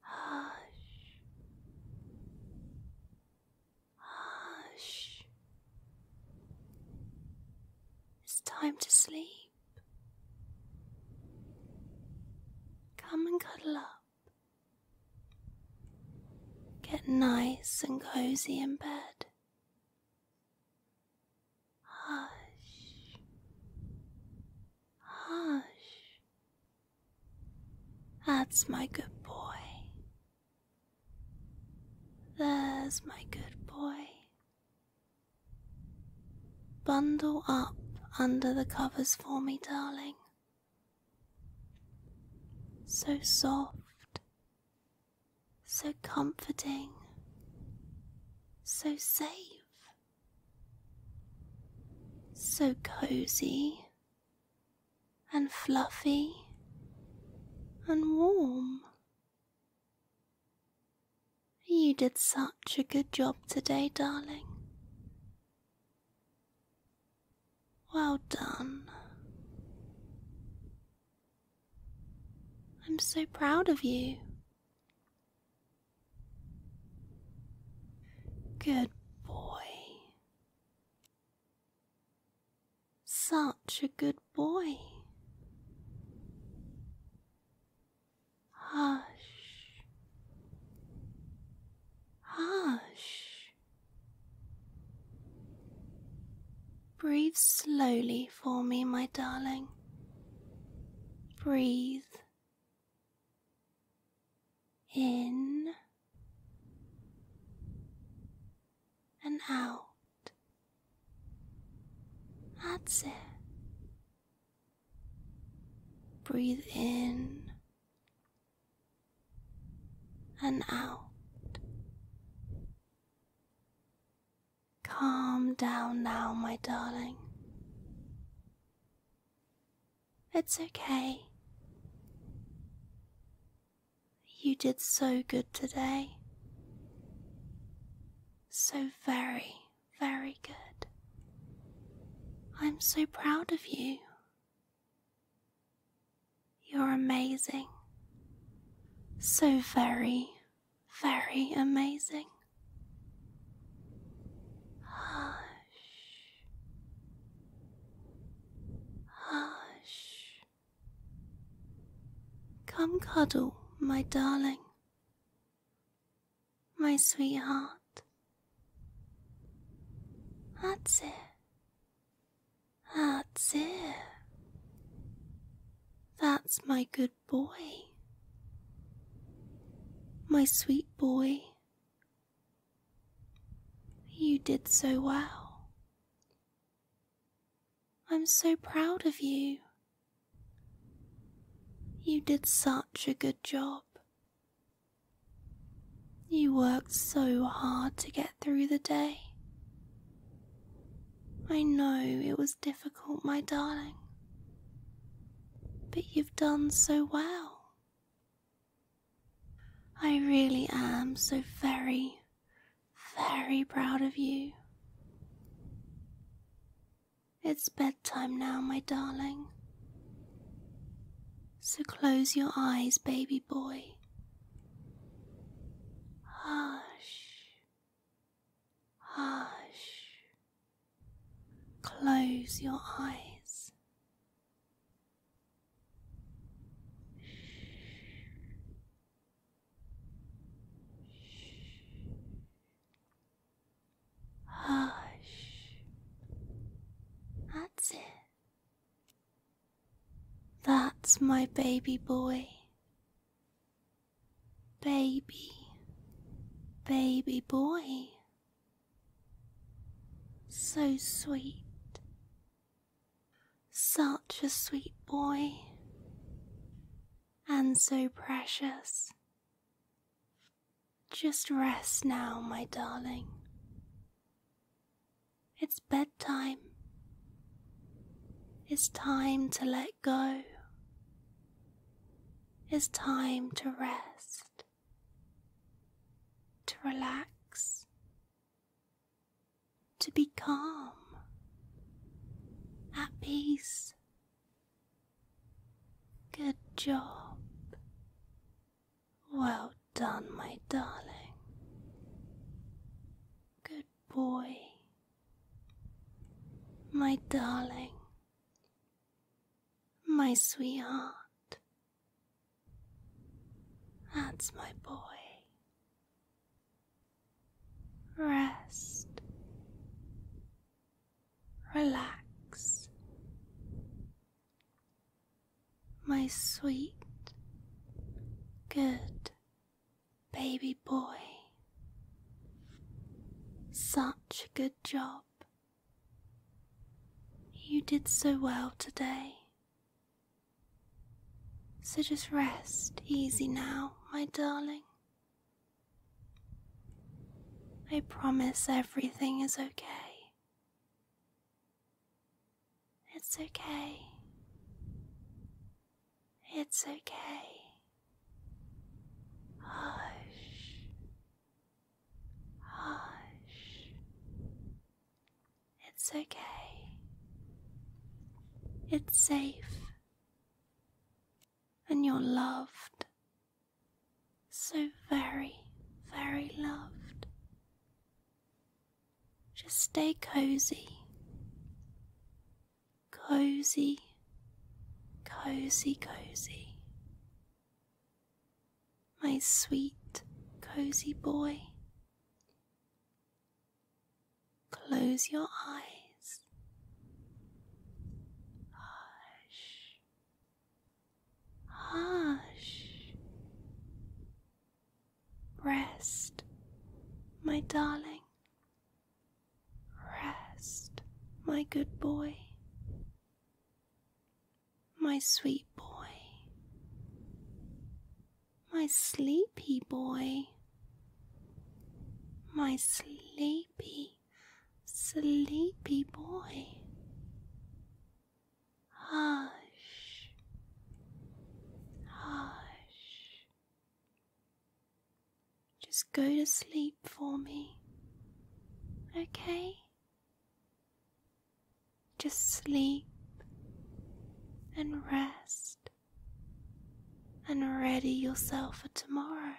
Hush. Hush. It's time to sleep. Come and cuddle up. Get nice and cozy in bed. Hush, hush. That's my good boy. There's my good boy. Bundle up under the covers for me, darling. So soft so comforting, so safe, so cozy and fluffy and warm. You did such a good job today, darling. Well done. I'm so proud of you. Good boy. Such a good boy. Hush. Hush. Breathe slowly for me, my darling. Breathe in and out. That's it. Breathe in and out. Calm down now, my darling. It's okay. You did so good today. So very, very good. I'm so proud of you. You're amazing. So very, very amazing. Hush. Hush. Come cuddle, my darling, my sweetheart. That's it. That's my good boy. My sweet boy, you did so well. I'm so proud of you. You did such a good job. You worked so hard to get through the day. I know it was difficult my darling. But you've done so well. I really am so very, very proud of you. It's bedtime now, my darling. So close your eyes, baby boy. Hush, Hush. Close your eyes. Hush. That's it. That's my baby boy. Baby, baby boy, so sweet, such a sweet boy, and so precious. Just rest now, my darling. It's bedtime. It's time to let go. It's time to rest, to relax, to be calm, at peace. Good job. Well done, my darling. Good boy. My darling, my sweetheart, that's my boy. Rest, relax, my sweet, good baby boy. Such a good job. You did so well today. So just rest easy now, my darling. I promise everything is okay. It's okay. It's okay. Hush. Hush. It's okay. It's safe. And you're loved. So very, very loved. Just stay cozy cozy, cozy, cozy. My sweet, cozy boy. Close your eyes. Hush, hush. Rest, my darling. Rest, my good boy. My sweet boy. My sleepy boy. My sleepy, sleepy boy. Hush, hush, just go to sleep for me, okay? Just sleep and rest and ready yourself for tomorrow.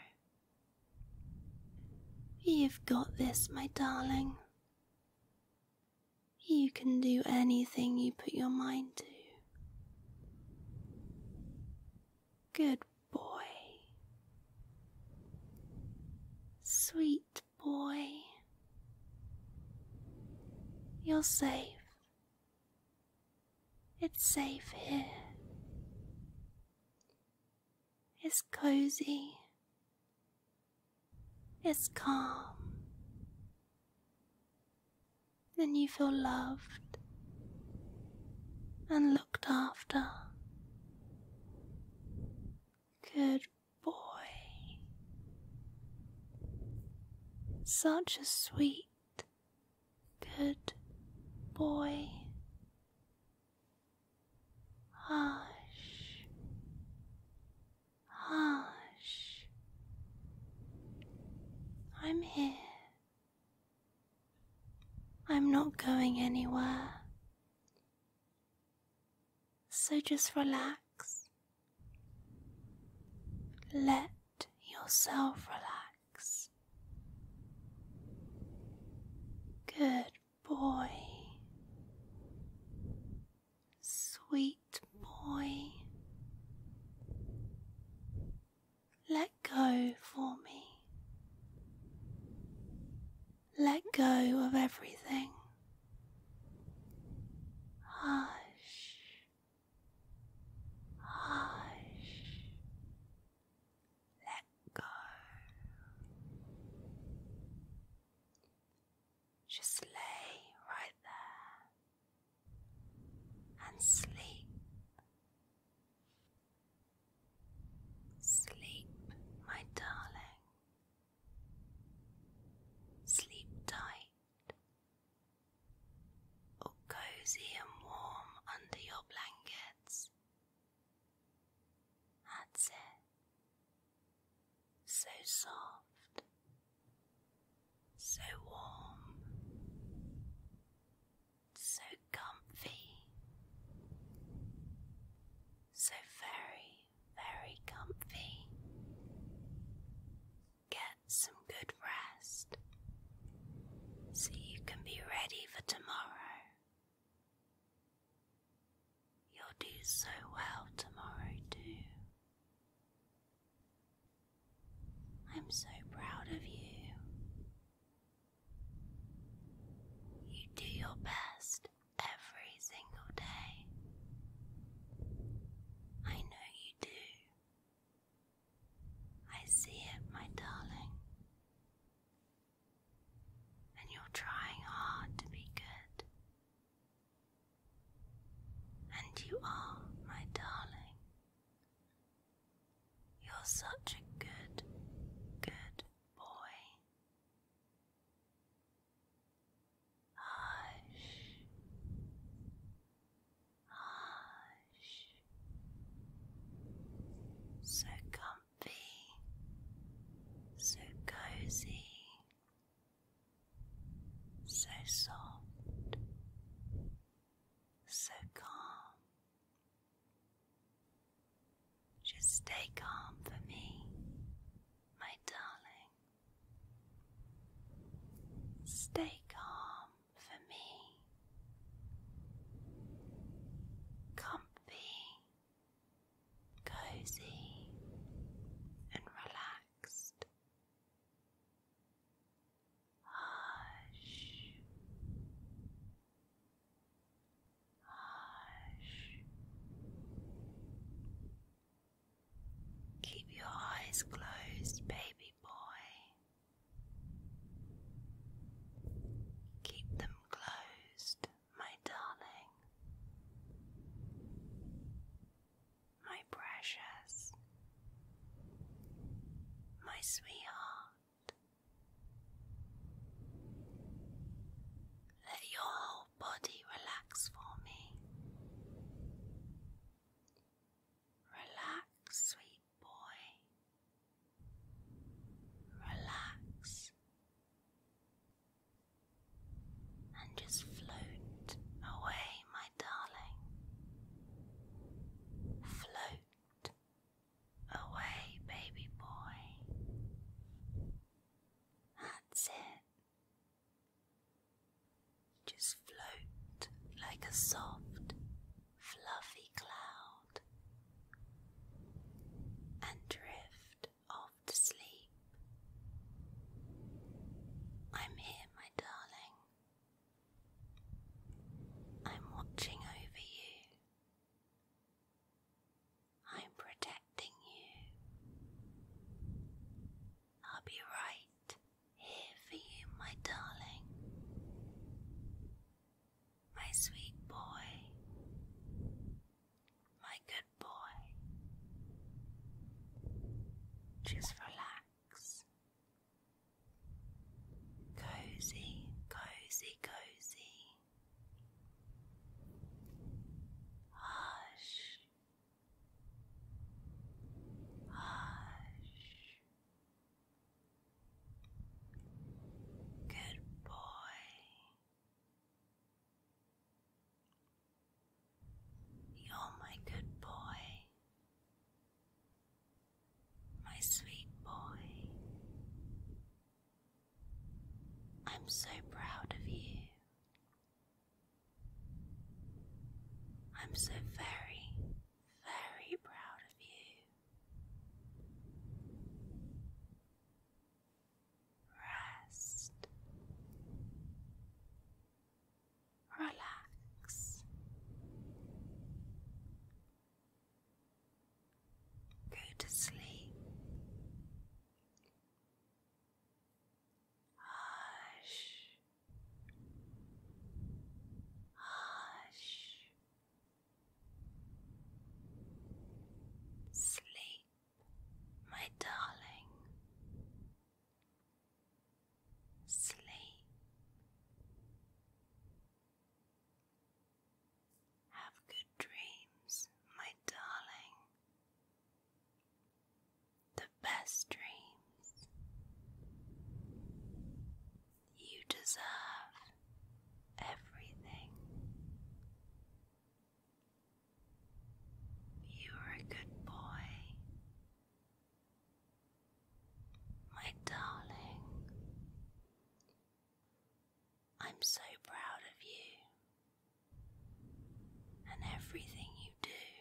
You've got this, my darling. You can do anything you put your mind to. Good boy. Sweet boy. You're safe. It's safe here. It's cozy. It's calm then you feel loved and looked after. Good boy. Such a sweet, good boy. Hush. Hush. I'm here. I'm not going anywhere. So just relax. Let yourself relax. Good boy. Sweet boy, let go for me. Let go of everything. Hush, hush, let go. Just lay right there and sleep. Sleep, my darling. Sleep tight, or cozy and warm under your blankets. That's it. So soft so warm, so comfy, so very, very comfy. Get some good rest so you can be ready for tomorrow. You'll do so well tomorrow, too. I'm so proud of you. You do your best every single day. I know you do. I see it, my darling. And you're trying hard to be good and you are, my darling. You're such a good, good boy. Hush. Hush. So comfy. So cozy so soft, so calm. Just stay calm for me, my darling. Stay calm for me. Comfy, cozy, and relaxed. Hush. Hush. Keep your eyes closed, baby boy. Keep them closed, my darling my precious, my sweetheart. Let your whole body relax for me. Relax, sweet boy. Relax and just float away, my darling. Float away, baby boy. That's it. Just float like a soft, fluffy cloud and drift off to sleep. I'm here, my darling. I'm watching over you. I'm protecting you. I'll be right here for you, my darling. My sweet boy, my good boy. Just relax. Cozy, cozy, cozy. Hush. Hush. Good boy. You're my good boy, my sweet boy. I'm so proud of you. I'm so very, very proud of you. Rest relax. Go to sleep. Hush. Hush. Sleep, my darling sleep. Have good dreams, my darling. The best dreams you deserve everything you are a good boy, my darling. I'm so proud of you and everything you do.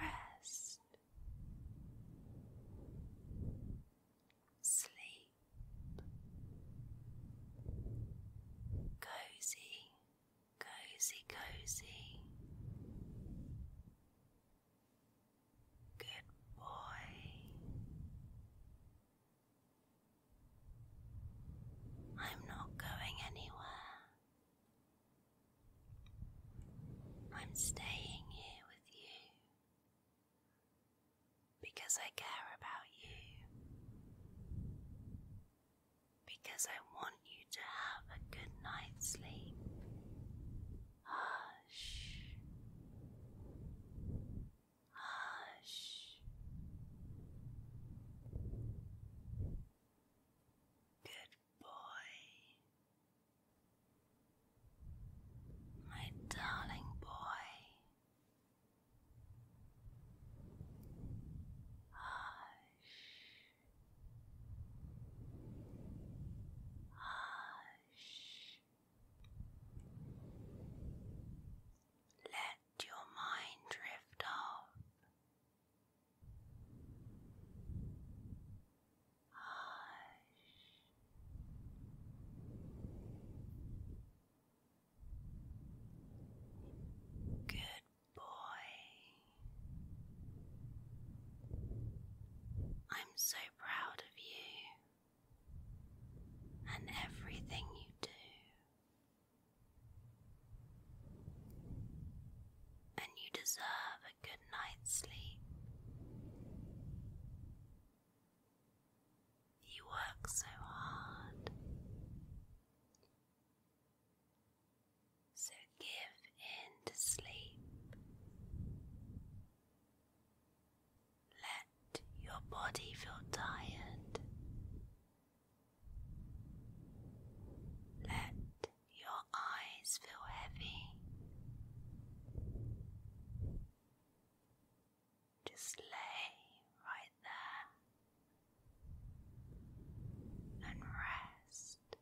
Rest, sleep sleep. Cozy, cozy, cozy. Good boy. I'm not going anywhere. I'm staying here with you. Because I care about you. Because I want you to have a good night's sleep. Hush. Hush. Good boy. My darling boy. Hush. Hush. Let your mind drift off. Hush. Good boy. I'm so proud of you and everything you do. And you deserve a good night's sleep. You work so hard. So give in to sleep. Let your body feel tired. Let your eyes feel heavy. Just lay right there and rest.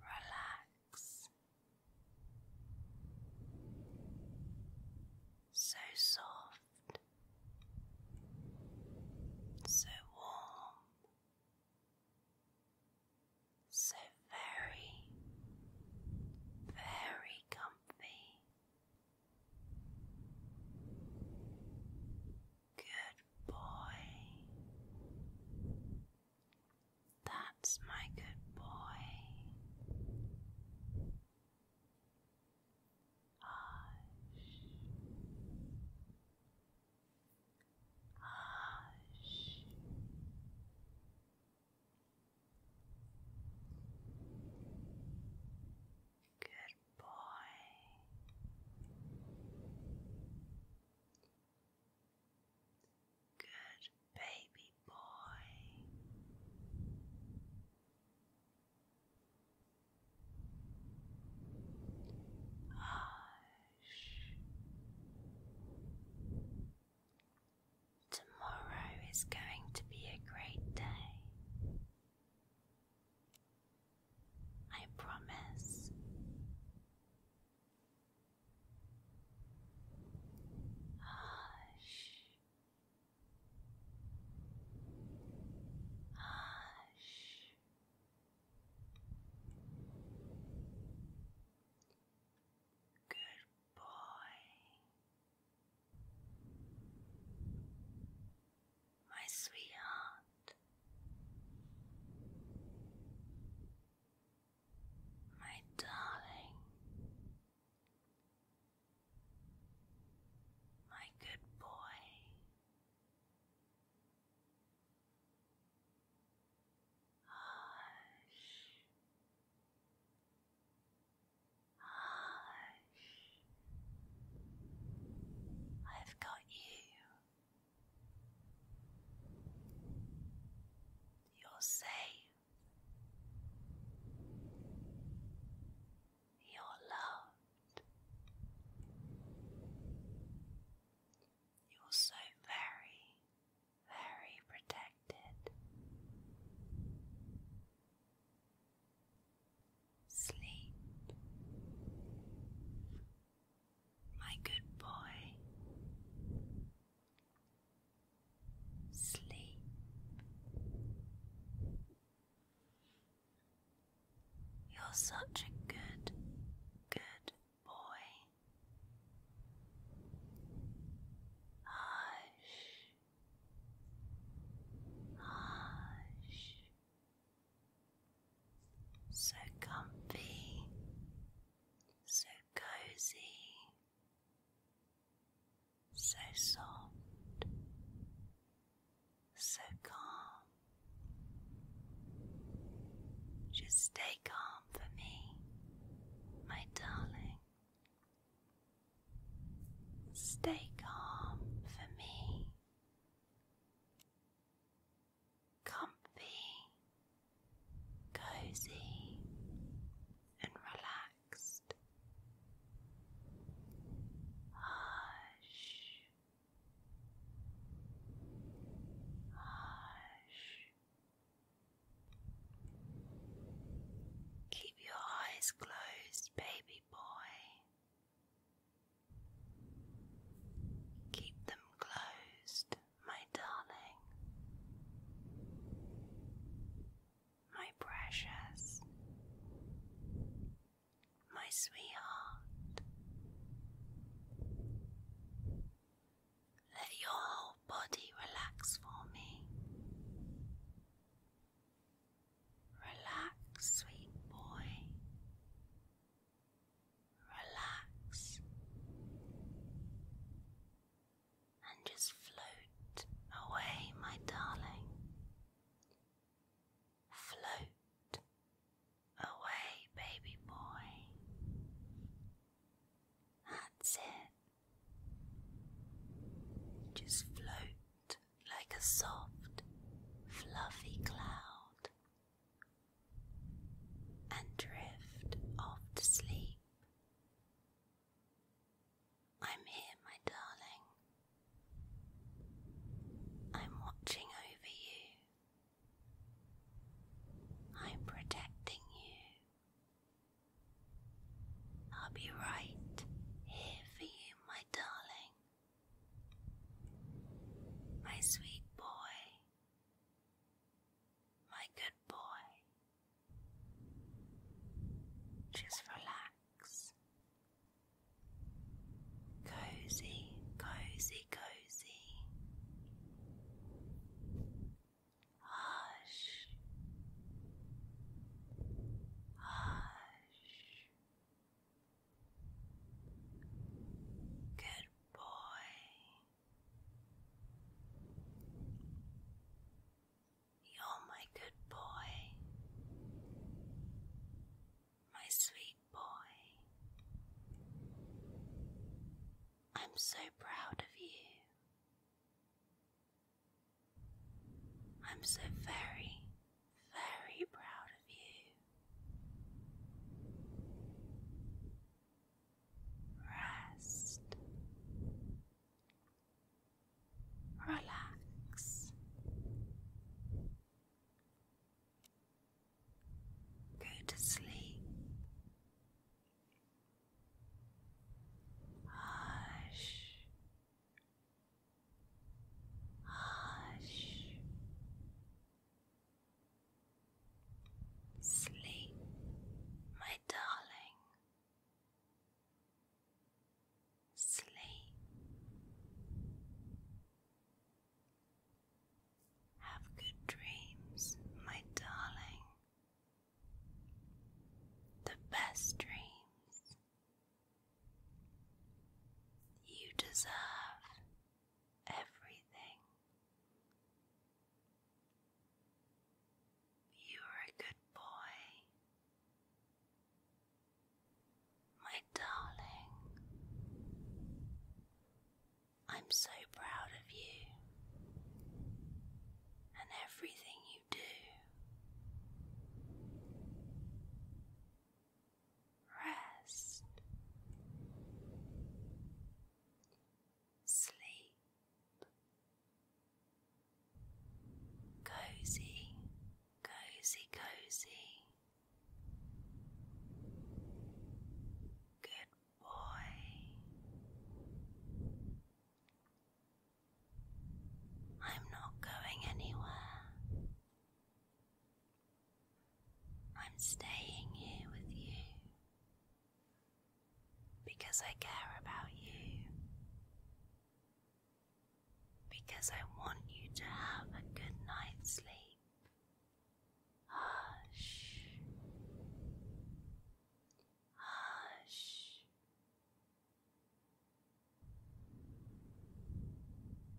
Relax. So soft, so warm, so very, very comfy. Good boy. That's my good boy. Hush. Hush. Good boy. Good baby boy. Hush. Tomorrow is going to be a great day. I promise. Hush. Hush. Good boy. My sweetheart. My darling. My good boy. Hush. Hush. I've got you. You're safe. You're loved. You're so very, very protected. Sleep, my good boy. Sleep. You're such a good, good boy. Hush, hush. So comfy, so cozy, so soft, so calm. Just stay calm for me, my darling. Stay calm for me. Comfy, cozy, and relaxed. Hush, hush. Keep your eyes closed, baby boy. Keep them closed, my darling. My precious, my sweetheart, let your whole body relax for me. Relax, sweet boy. Relax. And just float away, my darling. Float away, baby boy. That's it. Just float like a soft, fluffy cloud and drift off to sleep. I'm here, my darling. I'm watching over you. I'm protecting you. I'll be right here for you, my darling. My sweet boy. My good boy. Just relax. Cozy, cozy, cozy. Hush, hush. Good boy. You're my good boy, my sweet boy. I'm so proud of you. I'm so very, very proud of you. Rest. Relax. Go to sleep. Hush. Hush. Sleep, my darling. Sleep. Have good dreams, my darling. The best dreams you deserve everything. You are a good boy, my darling. I'm so proud of you and everything you do. Rest, sleep, cozy, cozy, cozy. Good boy. I'm not going anywhere. I'm staying here with you because I care about you, because I want you to have a good night's sleep. Hush. Hush.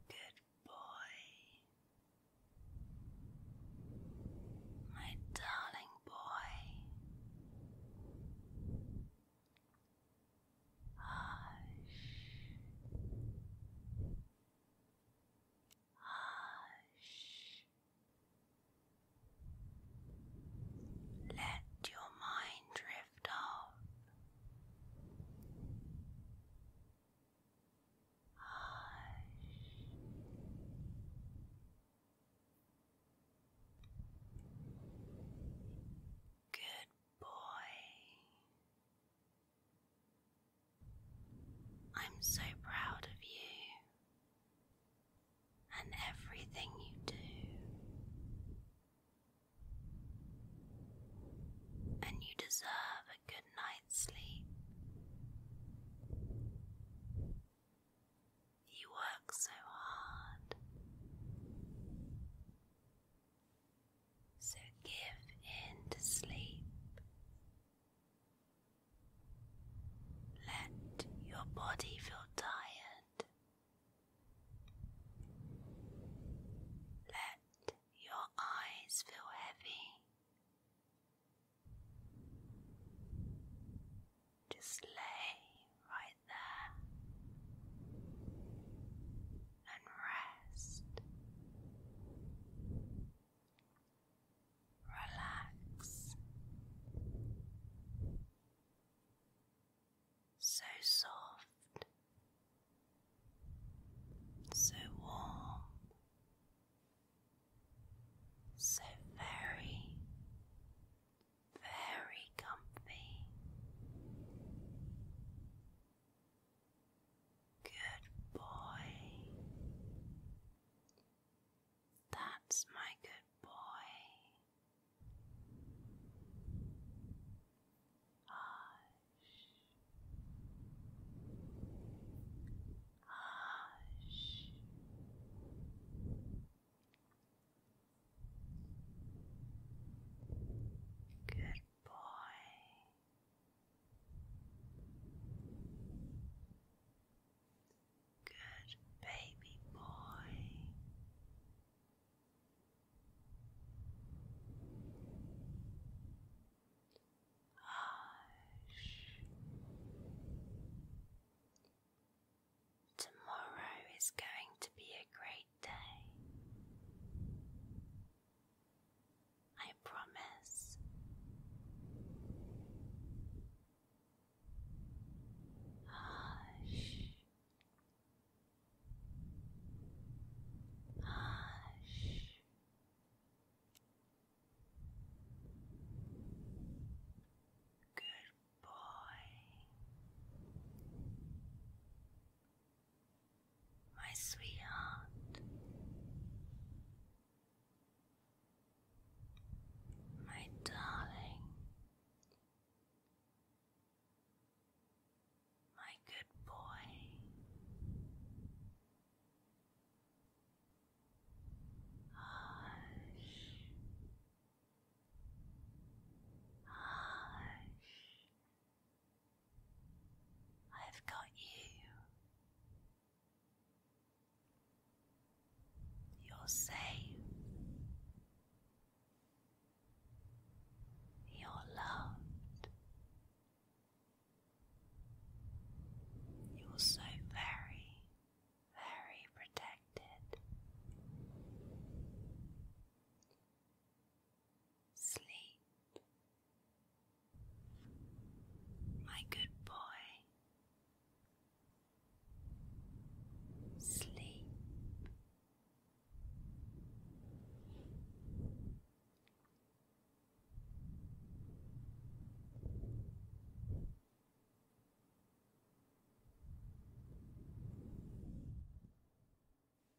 Good boy. My darling boy. Hush. Hush. Let your mind drift off. Hush. Good boy. I'm so proud of you and everything you do, and you deserve a good night's sleep. You work so hard, so give in to sleep. Let your body feel tired. Let your eyes feel heavy. Just lay right there and rest relax. So soft, so warm, so very, very comfy. Good boy. That's my good boy. Hush. Hush. Good boy. Good baby boy. Hush. Tomorrow is going to be a great day. I promise. Hush. Hush. Good boy my sweetheart, my darling, my good boy. Hush. Hush. I've got you. You're safe. You're loved. You're so very, very protected. Sleep my good boy, sleep.